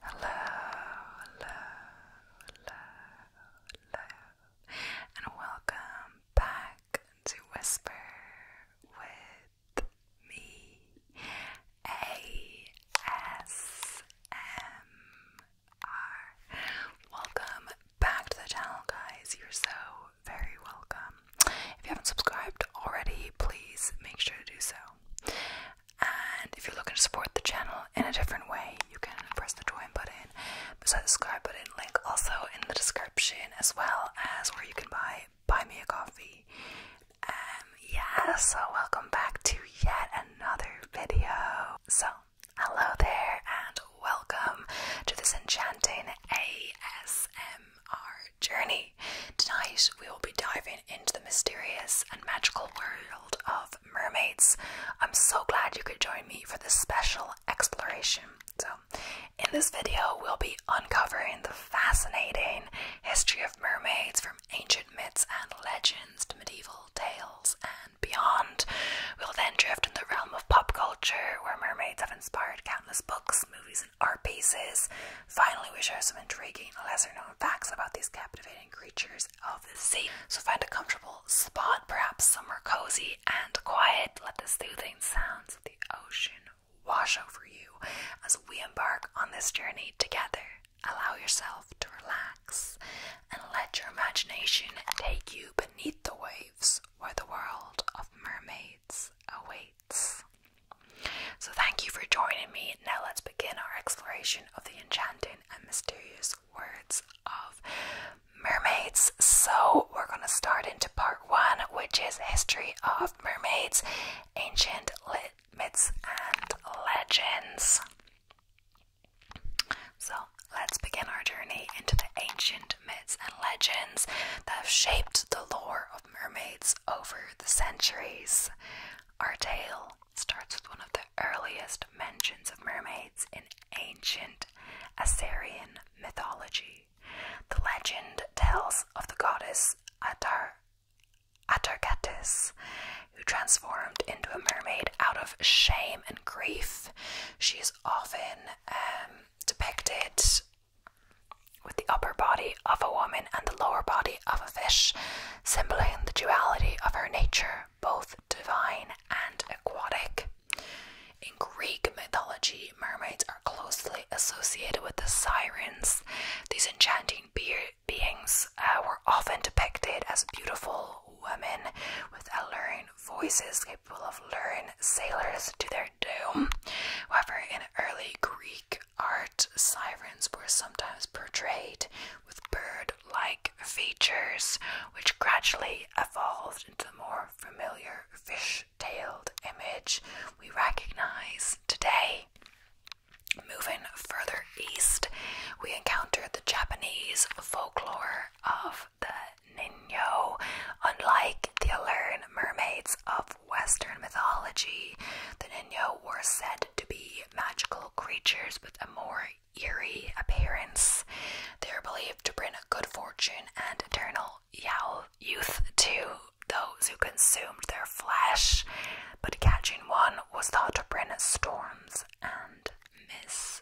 Hello, hello, hello, hello, and welcome back to Whisper with me, ASMR. Welcome back to the channel, guys. You're so very welcome. If you haven't subscribed already, please make sure to do so. And if you're looking to support the channel in a different way, you can press the join button beside the subscribe button link also in the description, as well as where you can buy buy me a coffee. And um, yeah, so welcome back to yet another video. So hello there and welcome to this enchanting ASMR journey. Tonight, we will be diving into the mysterious and magical world of mermaids. I'm so glad you could join me for this special exploration. So, in this video, we'll be uncovering the fascinating history of mermaids from ancient myths and legends to medieval tales and beyond. We'll then drift in the realm of pop culture, where mermaids have inspired countless books, movies, and art pieces. Finally, we share some intriguing, lesser known facts about these captivating creatures of the sea. So, find a comfortable spot, perhaps somewhere cozy and quiet. Let the soothing sounds of the ocean wash over you as we embark on this journey together. Allow yourself to relax and let your imagination take you beneath the waves where the world of mermaids awaits. So, thank you for joining me. Now, let's begin our exploration of the enchanting and mysterious words of mermaids. So, we're going to start into part one, which is history of mermaids, ancient myths, and legends. So, let's begin our journey into the ancient myths and legends that have shaped the lore of mermaids over the centuries. Our tale starts with one of the earliest mentions of mermaids in ancient Assyrian mythology. The legend tells of the goddess Atar Atargatis, who transformed into a mermaid out of shame and grief. She is often um, depicted with the upper body of a woman and the lower body of a fish, symbolizing the duality of her nature, both divine and aquatic. In Greek mythology, mermaids are closely associated with the sirens. These enchanting beings uh, were often depicted as beautiful women with alluring voices capable of luring sailors to their doom. However, in early Greek art, sirens were sometimes portrayed with bird like features, which gradually evolved into the more familiar fish tailed image we recognize today. Moving further east, we encounter the Japanese folklore of the Nino. Unlike the learned mermaids of Western mythology, the Nino were said to be magical creatures with a more eerie appearance. They were believed to bring good fortune and eternal youth to those who consumed their flesh, but catching one was thought to bring storms and mist.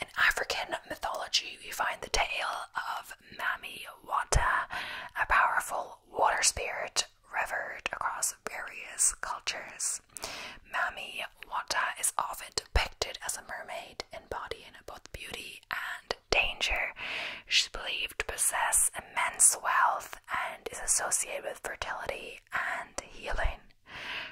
In African mythology, we find the tale of Mammy Wata, a powerful water spirit revered across various cultures. Mammy Wata is often depicted as a mermaid, embodying both beauty and danger. She's believed to possess immense wealth and is associated with fertility and healing.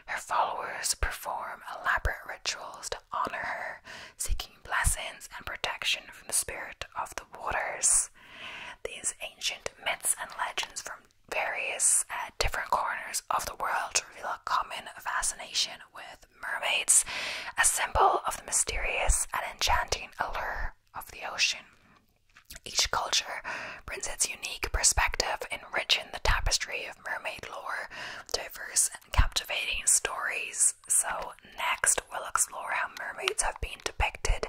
Her followers perform elaborate rituals to honor her, seeking blessings and protection from the spirit of the waters. These ancient myths and legends from various uh, different corners of the world reveal a common fascination with mermaids, a symbol of the mysterious and enchanting allure of the ocean. Each culture brings its unique perspective, enriching the tapestry of mermaid lore diverse and captivating stories. So, next, we'll explore how mermaids have been depicted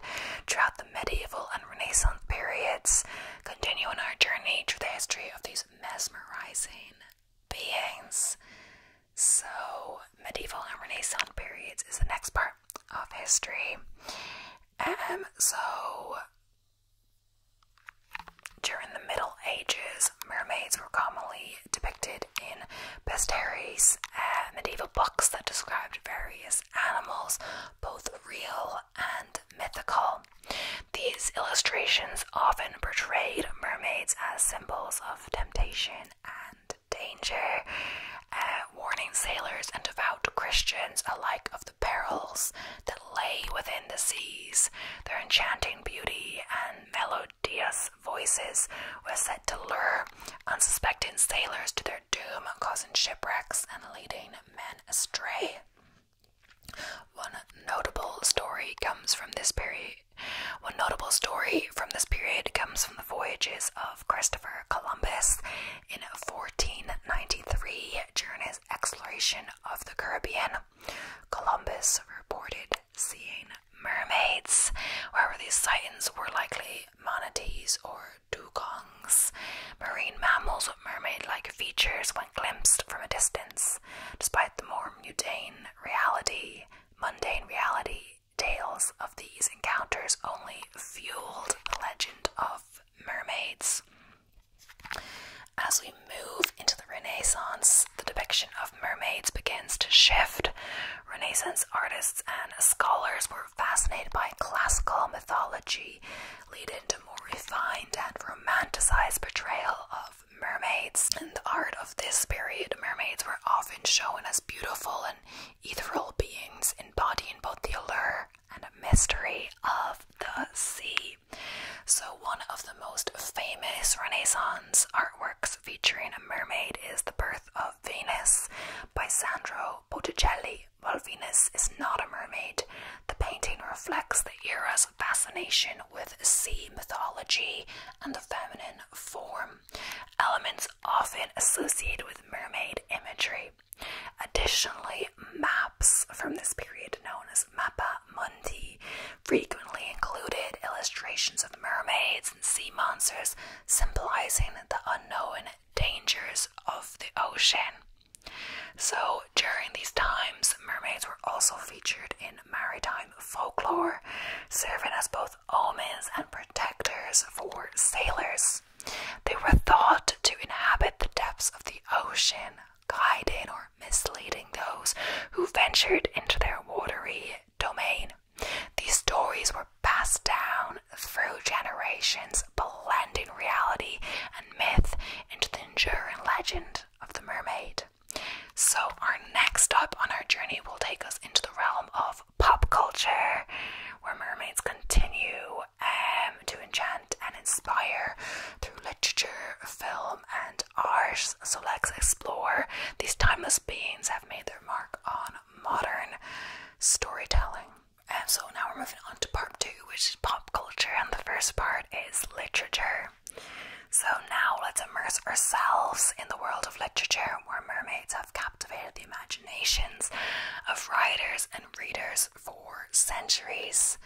throughout the medieval and Renaissance periods, continuing our journey through the history of these mesmerizing beings. So, medieval and Renaissance periods is the next part of history. Um, so during the Middle Ages, mermaids were commonly depicted in bestiaries, and medieval books that described various animals, both real and mythical. These illustrations often portrayed mermaids as symbols of temptation and danger, uh, warning sailors and devout Christians alike of the perils that lay within the seas. Their enchanting beauty and melodious voices were said to lure unsuspecting sailors to their doom, causing shipwrecks and leading men astray. One notable story comes from this period. One notable story from this period comes from the voyages of Christopher Columbus in 1493 during his exploration of the Caribbean. Columbus reported seeing mermaids, however, these sightings were likely manatees or dugongs, marine mammals with mermaid like features when glimpsed from a distance, despite the more mundane reality, mundane reality. Tales of these encounters only fueled the legend of mermaids. As we move into the Renaissance, the depiction of mermaids begins to shift. Renaissance artists and scholars were fascinated by classical mythology, leading to more refined and romanticized portrayal of mermaids. In the art of this period, mermaids were often shown as beautiful and ethereal beings embodying both the allure and a mystery of the sea. So, one of the most famous Renaissance artworks featuring a mermaid is The Birth of Venus by Sandro Botticelli. While Venus is not a mermaid, the painting reflects the era's fascination with sea mythology and the feminine form, elements often associated with mermaid imagery. Additionally, maps from this period, known as mappa Mundi frequently included illustrations of mermaids and sea monsters, symbolizing the unknown dangers of the ocean. So, during these times, mermaids were also featured in maritime folklore, serving as both omens and protectors for sailors. They were thought to inhabit the depths of the ocean, guiding or misleading those who ventured into their watery domain. These stories were passed down through generations, blending reality and myth into the enduring legend of the mermaid. So, our next stop on our journey will take us into the realm of pop culture, where mermaids continue um, to enchant and inspire through literature, film, and art. So let's explore. These timeless beings have made their mark on modern storytelling. And so now we're moving on to part two, which is pop culture, and the first part is literature. So now let's immerse ourselves in the world of literature where mermaids have captivated the imaginations of writers and readers for centuries.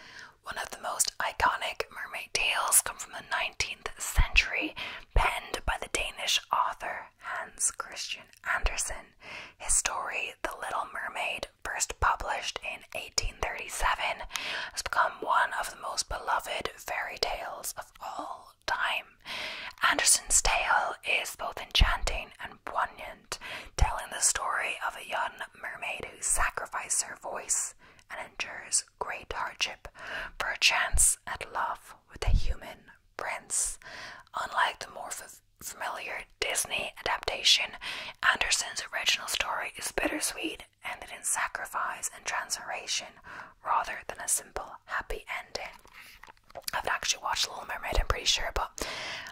One of the most iconic mermaid tales come from the 19th century, penned by the Danish author Hans Christian Andersen. His story, The Little Mermaid, first published in 1837, has become one of the most beloved fairy tales of all time. Andersen's tale is both enchanting and poignant telling the story of a young mermaid who sacrifices her voice and endures great hardship for a chance at love with a human prince. Unlike the more familiar Disney adaptation, Anderson's original story is bittersweet, ended in sacrifice and transformation rather than a simple happy ending. I have actually watched Little Mermaid, I'm pretty sure, but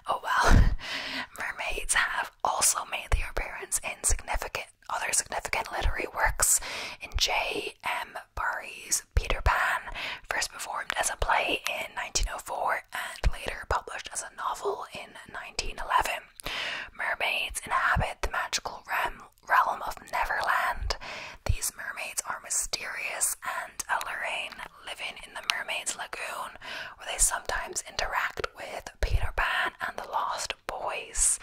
oh well. Mermaids have also made their appearance in significant other significant literary works in J. M. Barrie's Peter Pan, first performed as a play in 1904 and later published as a novel in 1911. Mermaids inhabit the magical realm, of Neverland. These mermaids are mysterious and alluring, living in the mermaid's lagoon, where they sometimes interact with Peter Pan and the Lost Boys.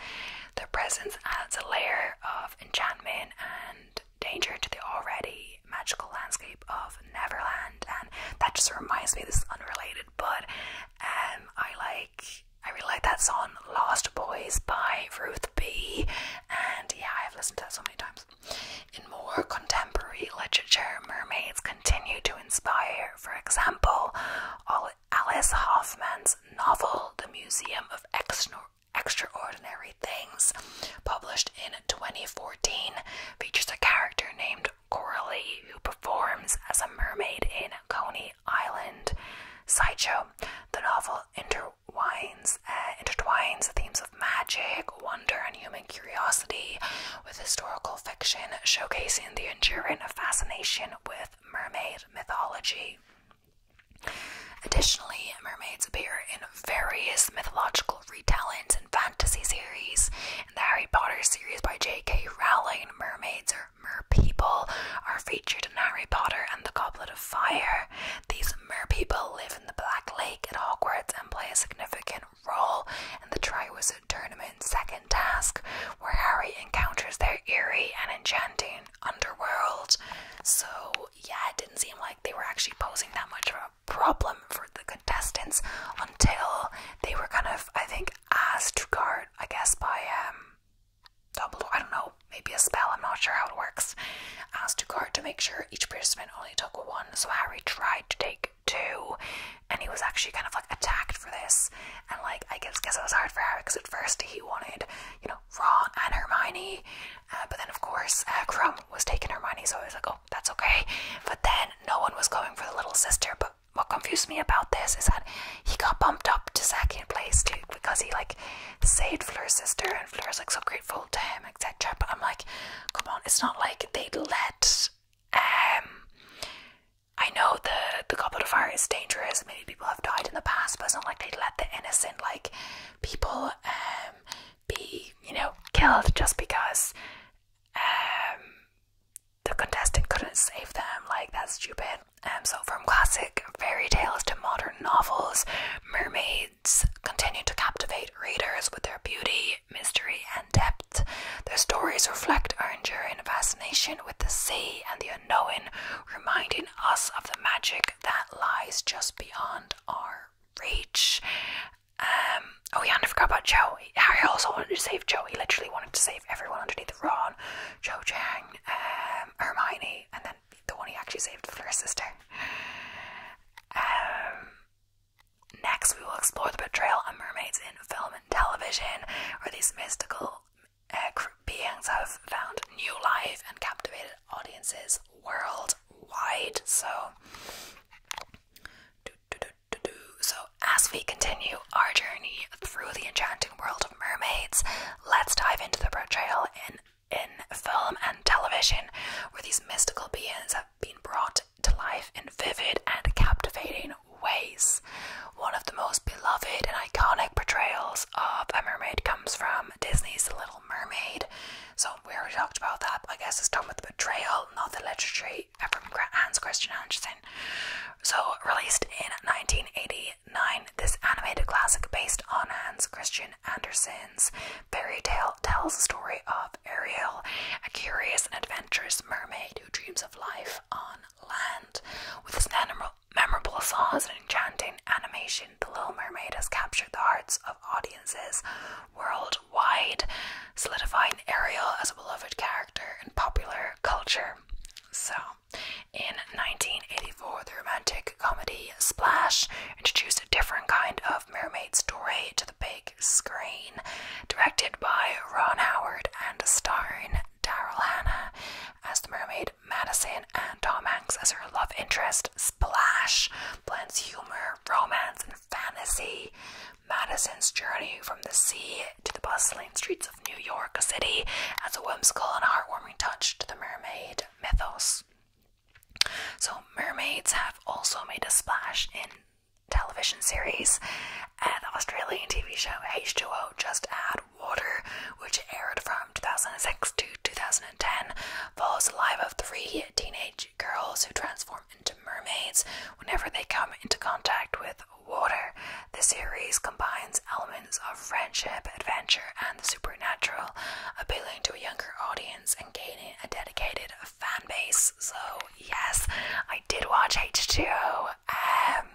Their presence adds a layer of enchantment and danger to the already magical landscape of Neverland, and that just reminds me. This is unrelated, but um, I like I really like that song "Lost Boys" by Ruth B. And yeah, I've listened to that so many times. In more contemporary literature, mermaids continue to for example, Alice Hoffman's novel The Museum of Extraordinary Things, published in 2014, features a character named Coralie who performs as a mermaid in Coney Island sideshow. The novel intertwines uh, themes of magic, wonder, and human curiosity with historical fiction, showcasing the enduring fascination with mermaid mythology. Additionally, mermaids appear in various mythological retellings and fantasy series. In the Harry Potter series by J.K. Rowling, mermaids or merpeople are featured in Harry Potter and the Goblet of Fire. These merpeople live in the Black Lake at Hogwarts and play a significant and roll, and the Triwizard Tournament second task, where Harry encounters their eerie and enchanting underworld. So, yeah, it didn't seem like they were actually posing that much of a problem for the contestants until they were kind of, I think, asked to guard, I guess, by Dumbledore. I don't know, maybe a spell, I'm not sure how it works. Asked to guard to make sure each participant only took one, so Harry tried to take like and he was actually kind of like attacked for this. And like, I guess, guess it was hard for Harry because at first he wanted, you know, Ron and Hermione, uh, but then of course uh, was taking Hermione, so I was like, oh, that's okay. But then no one was going for the little sister. But what confused me about this is that he got bumped up to second place too because he like saved Fleur's sister, and Fleur's like so grateful to him, etc. But I'm like, come on, it's not like they would let um, I know the the goblet of fire is dangerous. Many people have died in the past, but it's not like they let the innocent like people um be you know killed just because um the contestant couldn't save them. Like that's stupid. Um, so from classic fairy tales to modern novels, mermaids continue to captivate readers with their beauty, mystery, and depth. Their stories reflect our enduring fascination with the sea and the unknown, reminding us of the magic that lies just beyond our reach. Um, oh yeah, and I forgot about Joey. Harry also wanted to save Joey. He literally wanted to save everyone underneath the Ron, Joe Chang, um, Hermione, and then the one he actually saved, Fleur's sister. Um, Next, we will explore the portrayal of mermaids in film and television, where these mystical uh, beings have found new life and captivated audiences worldwide. So, so as we continue our journey through the enchanting world of mermaids, let's dive into the portrayal in in film and television, where these mystical beings have being brought to life in vivid and captivating ways. One of the most beloved and iconic portrayals of a mermaid comes from Disney's The Little Mermaid. So we already talked about that, I guess it's done with the portrayal, not the literature from Hans Christian Andersen. So released in 1989, this animated classic based on Hans Christian Andersen's fairy tale tells the story of Ariel, a curious and adventurous mermaid who dreams of life on land. With its memorable songs and enchanting animation, The Little Mermaid has captured the hearts of audiences worldwide, solidifying Ariel as a beloved character in popular culture. So, in 1984, the romantic comedy Splash introduced a different kind of mermaid story to the screen, directed by Ron Howard and starring Daryl Hannah as the mermaid Madison and Tom Hanks as her love interest. Splash blends humor, romance, and fantasy. Madison's journey from the sea to the bustling streets of New York City adds a whimsical and heartwarming touch to the mermaid mythos. So, mermaids have also made a splash in television series and Australian TV show H2O Just Add Water, which aired from 2006 to 2010, follows the life of three teenage girls who transform into mermaids whenever they come into contact with water. The series combines elements of friendship, adventure, and the supernatural, appealing to a younger audience and gaining a dedicated fan base. So yes, I did watch H2O um,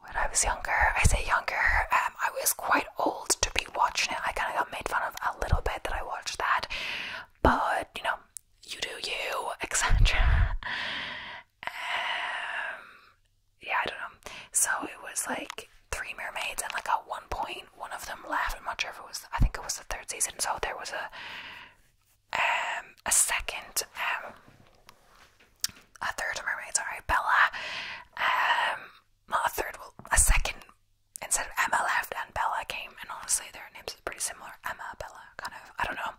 when I was younger. I say younger, um, I was quite old to be watching it. I kind of got made fun of a little bit that I watched that, but you know, you do you, etc. Um, yeah, I don't know. So it was like three mermaids and like a one point one of them left. I'm not sure if it was. I think it was the third season. So there was a um a second um a third mermaid. Sorry, Bella. Um, not a third. Well, a second instead of Emma left and Bella came. And honestly, their names are pretty similar. Emma, Bella, kind of. I don't know.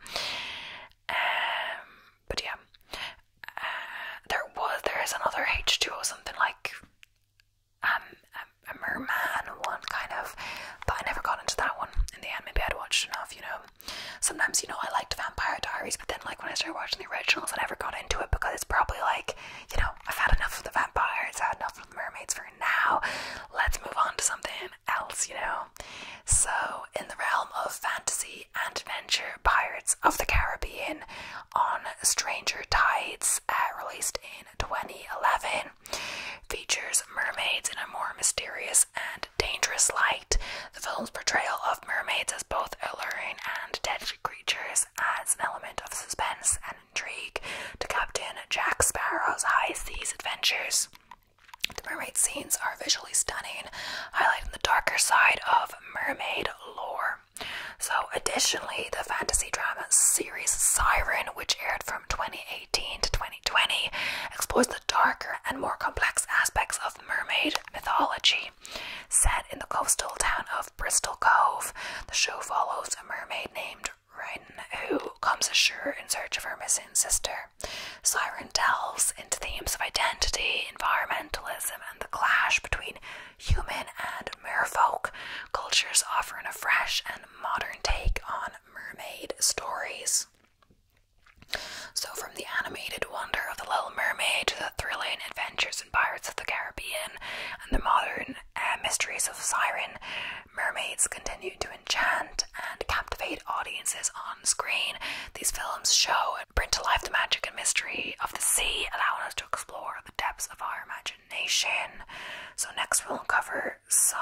Um, but yeah, uh, there was there is another H two or something like um, a, merman one kind of, but I never got into that one in the end. Maybe I'd watched enough, you know. Sometimes, you know, I liked Vampire Diaries, but then like when I started watching the originals, I never got into it because it's probably like, you know, I've had enough of the vampires, I've had enough of the mermaids for now. Let's move on to something else, you know. So, in the realm of fantasy and adventure, Pirates of the Caribbean on Stranger Tides, uh, released in 2011, Features mermaids in a more mysterious and dangerous light. The film's portrayal of mermaids as both alluring and deadly creatures adds an element of suspense and intrigue to Captain Jack Sparrow's high seas adventures. The mermaid scenes are visually stunning, highlighting the darker side of mermaid lore. So, additionally, the fantasy drama series Siren, which aired from 20 2018 to 2020 explores the darker and more complex aspects of mermaid mythology. Set in the coastal town of Bristol Cove, the show follows a mermaid named Rhyn who comes ashore in search of her missing sister. Siren delves into themes of identity, environmentalism, and the clash between human and merfolk cultures offering a fresh and modern take on mermaid stories. So, from the animated wonder of The Little Mermaid to the thrilling adventures in Pirates of the Caribbean and the modern uh, mysteries of Siren, mermaids continue to enchant and captivate audiences on screen. These films show and bring to life the magic and mystery of the sea, allowing us to explore the depths of our imagination. So next we'll cover some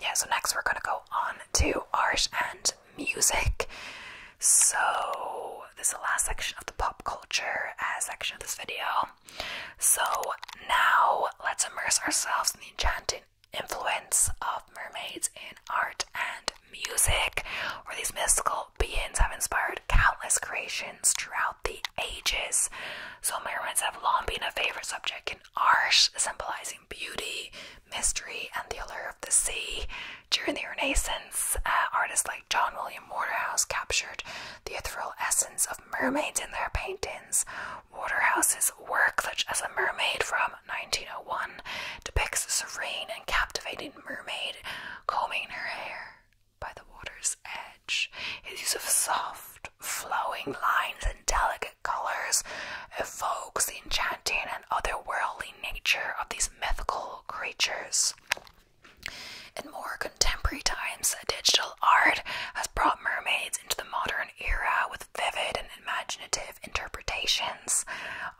yeah, so next we're gonna go on to art and music. So this is the last section of the pop culture uh, section of this video. So now let's immerse ourselves in the enchanting influence of mermaids in art and music, where these mystical beings have inspired countless creations throughout the ages. So mermaids have long been a favorite subject in art, symbolizing beauty, mystery, and the allure of the sea. During the Renaissance, uh, artists like John William Waterhouse captured the ethereal essence of mermaids in their paintings. Waterhouse's work, such as A Mermaid from 1901, depicts a serene and captivating mermaid combing her hair by the water's edge. His use of soft, flowing lines and delicate colors evokes the enchanting and otherworldly nature of these mythical creatures. In more contemporary times, digital art has brought mermaids into the modern era with vivid and imaginative interpretations.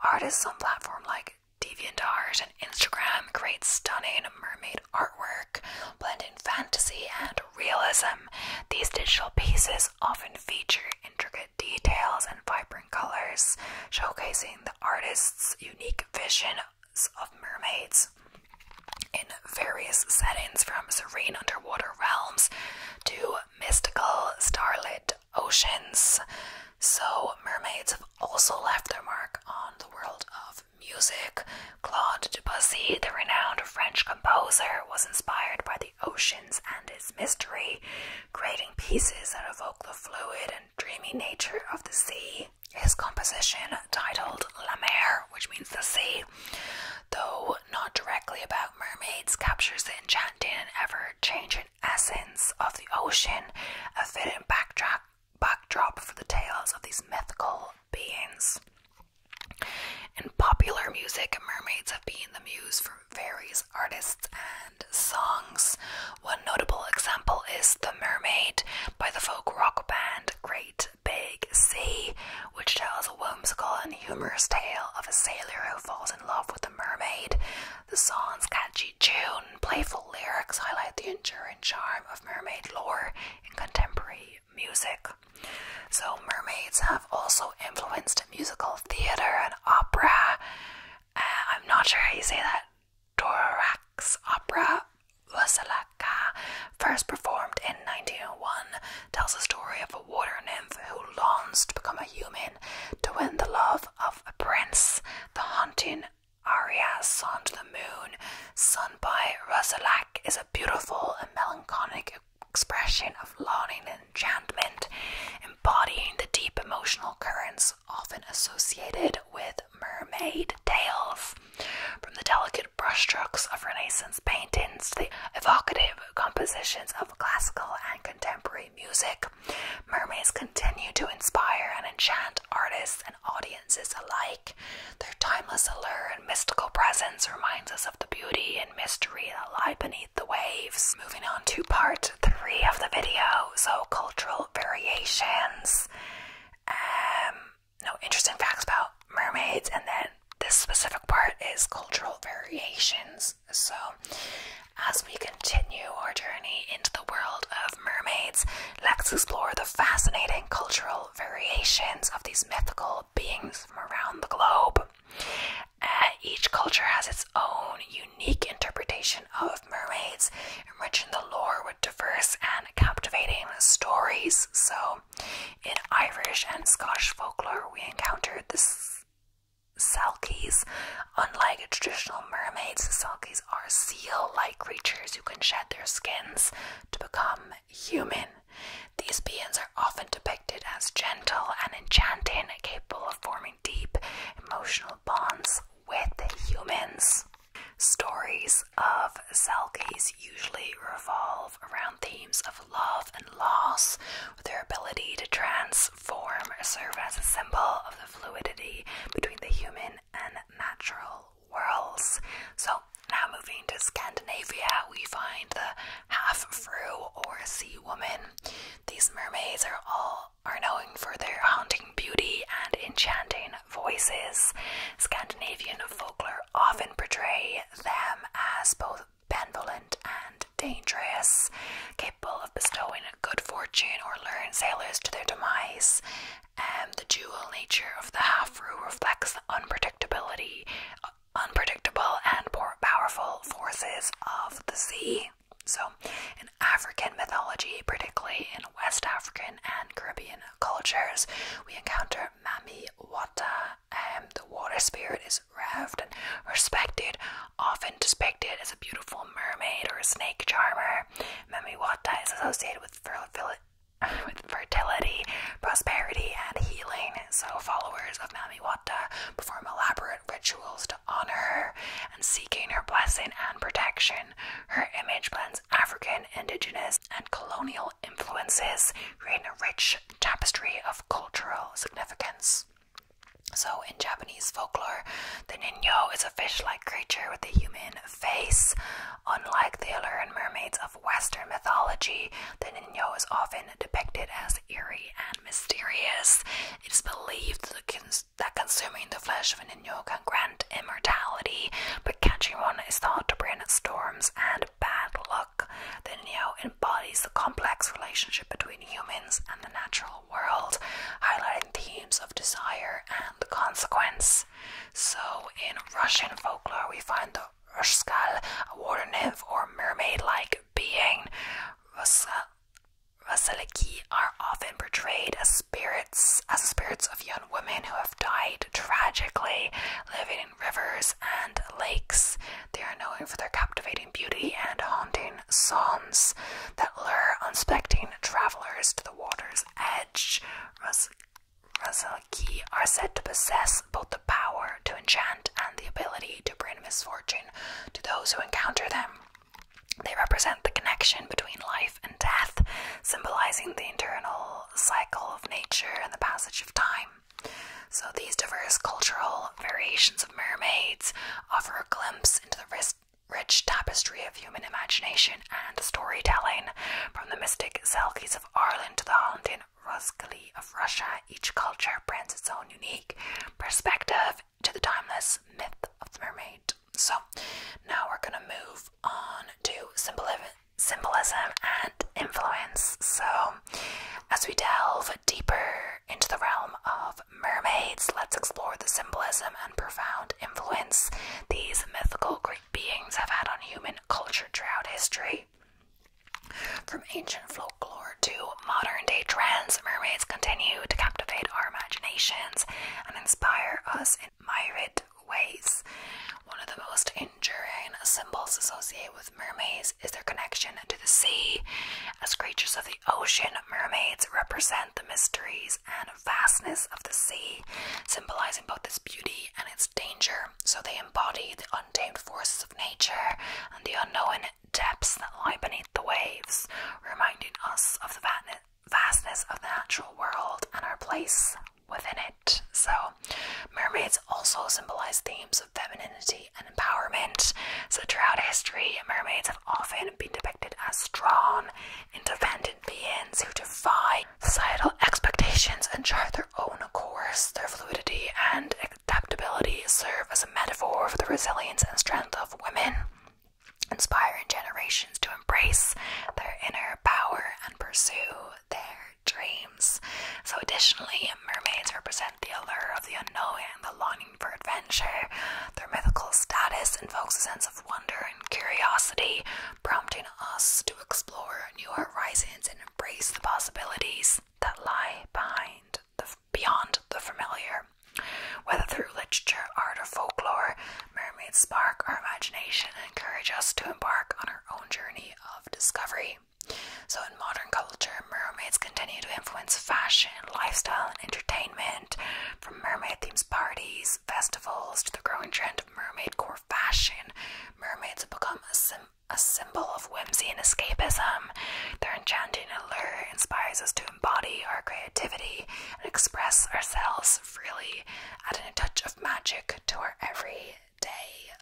Artists on platforms like DeviantArt and Instagram create stunning mermaid artwork, blending fantasy and realism, these digital pieces often feature intricate details and vibrant colors, showcasing the artist's unique visions of mermaids. In various settings, from serene underwater realms to mystical starlit oceans. So, mermaids have also left their mark on the world of music, Claude Debussy, the renowned French composer, was inspired by the oceans and its mystery, creating pieces that evoke the fluid and dreamy nature of the sea. His composition, titled La Mer, which means the sea, though not directly about mermaids, captures the enchanting and ever changing essence of the ocean, a fitting backdrop backdrop for the tales of these mythical beings. In popular music, mermaids have been the muse for various artists and songs. One notable example is The Mermaid by the folk rock band Great Big Sea, which tells a whimsical and humorous tale of a sailor who falls in love with a mermaid. The song's catchy tune, playful lyrics highlight the enduring and charm of mermaid lore in contemporary music. So, mermaids have also influenced musical theater and opera. Uh, I'm not sure how you say that. Thorax opera Vasilaka, first performed in 1901, tells the story of a water nymph who longs to become a human to win the love of a prince. The haunting Arias on the Moon, sung by Rosalak, is a beautiful and melancholic expression of longing and enchantment, embodying the deep emotional currents often associated with mermaid tales. From the delicate brushstrokes of Renaissance paintings to the evocative compositions of classical and contemporary music, mermaids continue to inspire and enchant artists and audiences alike. Their timeless allure and mystical presence reminds us of the beauty and mystery that lie beneath the waves. Moving on to part three of the video, so cultural variations. Um, no interesting facts about mermaids, and then this specific part is cultural variations. So, as we continue our journey into the world of mermaids, let's explore the fascinating cultural variations of these mythical beings from around the globe. Uh, each culture has its own unique interpretation of mermaids, enriching the lore with diverse and captivating stories. So, in Irish and Scottish folklore, we encountered the Selkies. Unlike traditional mermaids, the Selkies are seal like creatures who can shed their skins to become human. These beings are often depicted as gentle and enchanting, capable of forming deep emotional bonds with humans. Stories of Selkies usually revolve around themes of love and loss, with their ability to transform serve as a symbol of the fluidity between the human and natural whirls. So now moving to Scandinavia, we find the half-fru or sea woman. These mermaids are all are known for their haunting beauty and enchanting voices. Scandinavian folklore often portray them as both benevolent and dangerous, capable of bestowing good fortune or luring sailors to their demise. And the dual nature of the half-rule reflects the unpredictability, unpredictable and powerful forces of the sea. So, in African mythology, particularly in West African and Caribbean cultures, we encounter Mami Wata. Um, the water spirit is revered and respected, often depicted as a beautiful mermaid or a snake charmer. Mami Wata is associated with fertility with fertility, prosperity, and healing. So, followers of Mami Wata perform elaborate rituals to honor her and seeking her blessing and protection. Her image blends African, indigenous, and colonial influences, creating a rich tapestry of cultural significance. So, in Japanese folklore, the ninyo is a fish like creature with a human face. Unlike the alluring mermaids of Western mythology, the Nino is often depicted as eerie and mysterious. It is believed that, consuming the flesh of a Nino can grant immortality, but catching one is thought to bring storms and bad luck. The Nino embodies the complex relationship between humans and the natural world, highlighting themes of desire and consequence. So, in Russian folklore, we find the Urskal, a water nymph or mermaid like being. Vasiliki are often portrayed as spirits, as spirits of young women who have died tragically, living in rivers and lakes. They are known for their captivating beauty and haunting songs that lure unsuspecting travelers to the water's edge, Ras Razalki are said to possess both the power to enchant and the ability to bring misfortune to those who encounter them. They represent the connection between life and death, symbolizing the internal cycle of nature and the passage of time. So, these diverse cultural variations of mermaids offer a glimpse into the rich tapestry of human imagination and storytelling, from the mystic Selkies of Ireland to the haunting Roskali of Russia, each culture brands its own unique perspective to the timeless myth of the mermaid. So, now we're going to move on to symbolism and influence. So, as we delve deeper into the realm of mermaids, let's explore the symbolism and profound influence these mythical Greek beings have had on human culture throughout history. From ancient folklore to modern day trends, mermaids continue to captivate our imaginations and inspire us in myriad ways. One of the most enduring symbols associated with mermaids is their connection to the sea. As creatures of the ocean, mermaids represent the mysteries and and vastness of the sea, symbolizing both its beauty and its danger. So they embody the untamed forces of nature and the unknown depths that lie beneath the waves, reminding us of the vastness of the natural world and our place within it. So, mermaids also symbolize themes of femininity and empowerment. So, throughout history, mermaids have often been depicted as strong, independent beings who defy societal expectations and chart their own course. Their fluidity and adaptability serve as a metaphor for the resilience and strength of women, inspiring generations to embrace their inner power and pursue their dreams. So, additionally, mermaids represent the allure of the unknown and the longing for adventure. Their mythical status invokes a sense of wonder and curiosity, prompting us to explore new horizons and embrace the possibilities that lie behind the, beyond the familiar. Whether through literature, art, or folklore, mermaids spark our imagination and encourage us to embark on our own journey of discovery. So, in modern culture, mermaids continue to influence fashion, lifestyle, and entertainment, from mermaid themed parties festivals, to the growing trend of mermaid core fashion. Mermaids have become a, a symbol of whimsy and escapism. Their enchanting allure inspires us to embody our creativity and express ourselves freely, adding a touch of magic to our everyday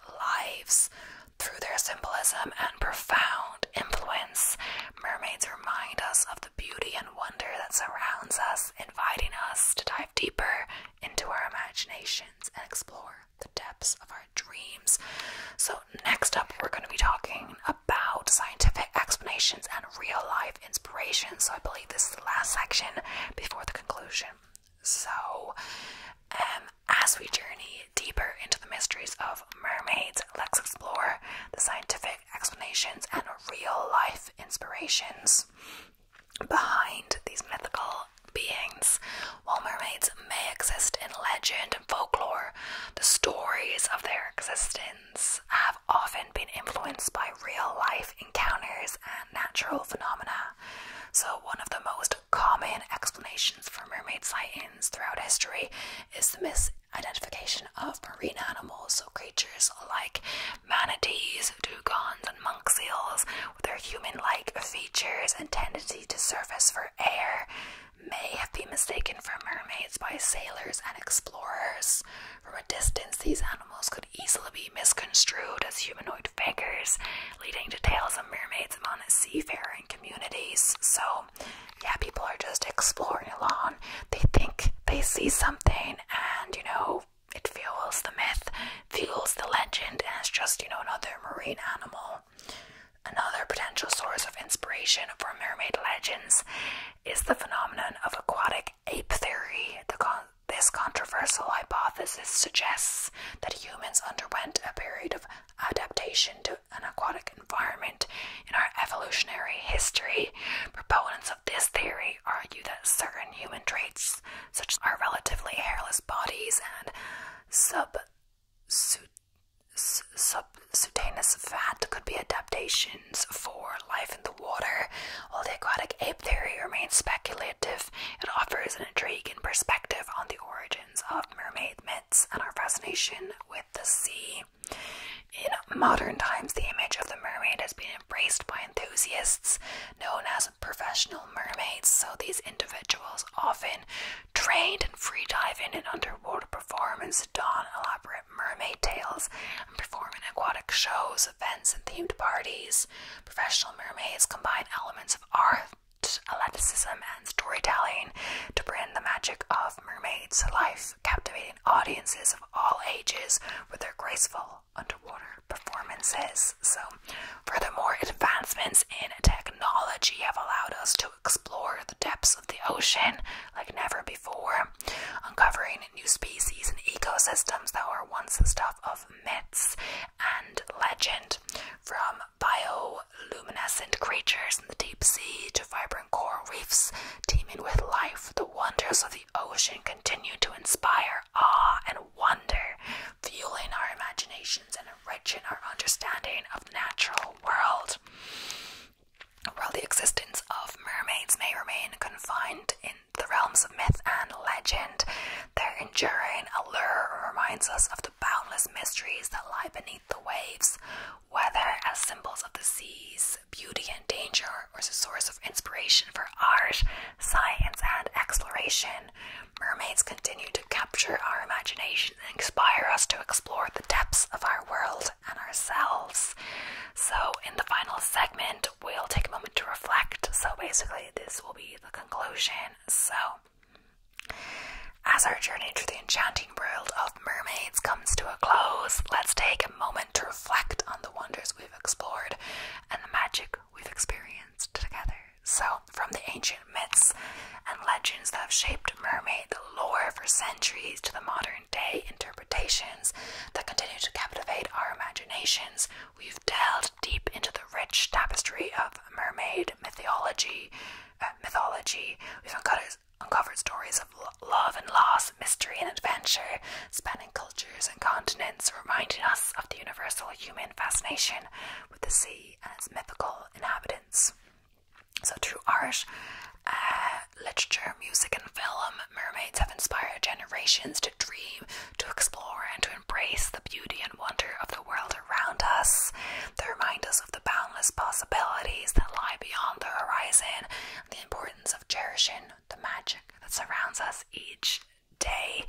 lives. Through their symbolism and profound influence, mermaids remind us of the beauty and wonder that surrounds us, inviting us to dive deeper into our imaginations and explore the depths of our dreams. So, next up, we're going to be talking about scientific explanations and real life inspirations. So, I believe this is the last section before the conclusion. So, um, as we journey deeper into the mysteries of mermaids, let's explore the scientific explanations and real life inspirations behind these mythical beings. While mermaids may exist in legend and folklore, the stories of their existence have often been influenced by real life encounters and natural phenomena. So, one of the most common explanations for mermaid sightings throughout history is the myth identification of marine animals, so creatures like manatees, dugongs, and monk seals, with their human-like features and tendency to surface for air, may have been mistaken for mermaids by sailors and explorers. From a distance, these animals could easily be misconstrued as humanoid figures, leading to tales of mermaids among seafaring communities. So, yeah, people are just exploring along. They think they see something, and you know it fuels the myth, fuels the legend, and it's just, you know, another marine animal. Another potential source of inspiration for mermaid legends is the phenomenon of aquatic ape theory. this controversial hypothesis suggests that humans underwent a period of adaptation to an aquatic environment in our evolutionary history, proponents of this theory argue that certain human traits, such as our relatively hairless bodies and sub subcutaneous fat, could be adaptations for life in the water. While the aquatic ape theory remains speculative, it offers an intriguing perspective on the origins of mermaid myths and our fascination with the sea. In modern times, the image of the mermaid has been embraced by enthusiasts known as professional mermaids. So these individuals often train in freediving and underwater performance, don elaborate mermaid tales, and perform in aquatic shows, events, and themed parties. Professional mermaids combine elements of art athleticism and storytelling to bring the magic of mermaids to life captivating audiences of all ages with their graceful underwater performances. So, furthermore, advancements in technology have allowed us to explore the depths of the ocean like never before, uncovering new species and ecosystems that were once the stuff of myths and legend, from bioluminescent creatures in the deep sea to vibrant coral reefs teeming with life, the wonders of the ocean continue to inspire awe and wonder, fueling our imaginations and enriching our understanding of the natural world. While the existence of mermaids may remain confined in the realms of myth and legend, their enduring allure reminds us of the boundless mysteries that lie beneath the waves, whether as symbols of the seas beauty and danger or as a source of inspiration for art, science, and exploration. Mermaids continue to capture our imagination and inspire us to explore the depths of our world and ourselves. So, in the final segment, we'll take a moment to reflect. So, basically, this will be the conclusion. So, as our journey through the enchanting world of mermaids comes to a close, let's take a moment to reflect on the wonders we've explored and the magic we've experienced together. So, from the ancient myths and legends that have shaped mermaid lore for centuries to the modern day interpretations that continue to captivate our imaginations, we've delved deep into the rich tapestry of mermaid mythology. Uh, mythology. We've uncovered uncovers uncovered stories of love and loss, mystery and adventure, spanning cultures and continents, reminding us of the universal human fascination with the sea and its mythical inhabitants. So, through art, uh, literature, music, and film, mermaids have inspired generations to dream, to explore, and to embrace the beauty and wonder of the world around us. They remind us of the boundless possibilities that lie beyond the horizon, of cherishing the magic that surrounds us each day.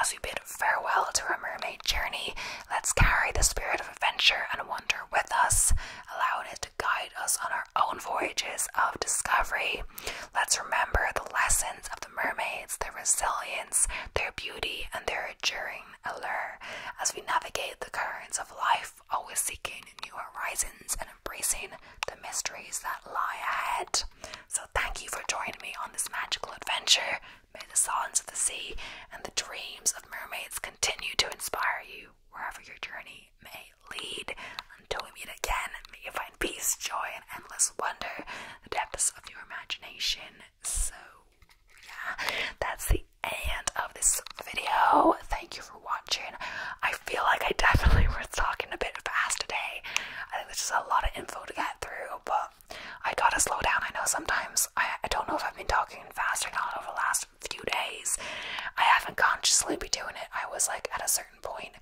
As we bid farewell to our mermaid journey, let's carry the spirit of adventure and wonder with us, allowing it to guide us on our own voyages of discovery. Let's remember the lessons of the mermaids, their resilience, their beauty, and their enduring allure as we navigate the currents of life always seeking new horizons and embracing the mysteries that lie ahead. So, thank you for joining me on this magical adventure. May the songs of the sea and the dreams of mermaids continue to inspire you wherever your journey may lead. Until we meet again, may you find peace, joy, and endless wonder, the depths of your imagination. So, yeah, that's the and of this video. Thank you for watching. I feel like I definitely was talking a bit fast today. I think there's just a lot of info to get through, but I gotta slow down. I know sometimes I, I don't know if I've been talking fast or not over the last few days. I haven't consciously been doing it. I was like at a certain point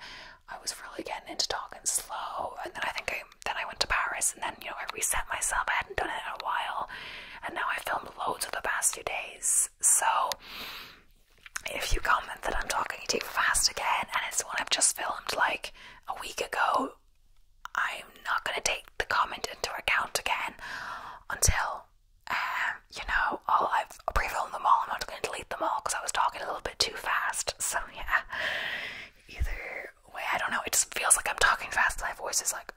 I was really getting into talking slow and then I think I then I went to Paris and then you know I reset myself. I hadn't done it in a while and now I filmed loads of the past two days. So if you comment that I'm talking too fast again and it's one I've just filmed like a week ago, I'm not going to take the comment into account again until, um, you know, I've pre filmed them all. I'm not going to delete them all because I was talking a little bit too fast. So, yeah, either way, I don't know. It just feels like I'm talking fast. My voice is like,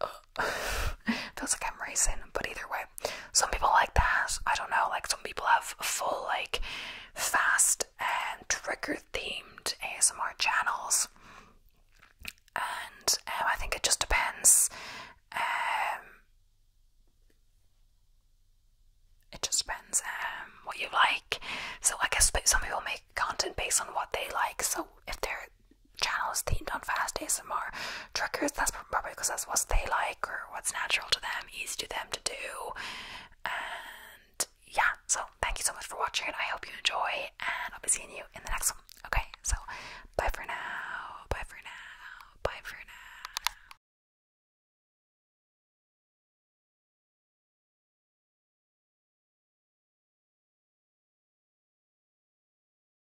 feels like I'm racing. But either way, some people like that. I don't know, like some people have full like fast and trigger themed ASMR channels. And um, I think it just depends. Um, it just depends um, what you like. So I guess some people make content based on what they like. So if they're channels themed on fast ASMR triggers. That's probably because that's what they like or what's natural to them, easy to them to do. And yeah, so thank you so much for watching. I hope you enjoy, and I'll be seeing you in the next one. Okay, so bye for now. Bye for now. Bye for now.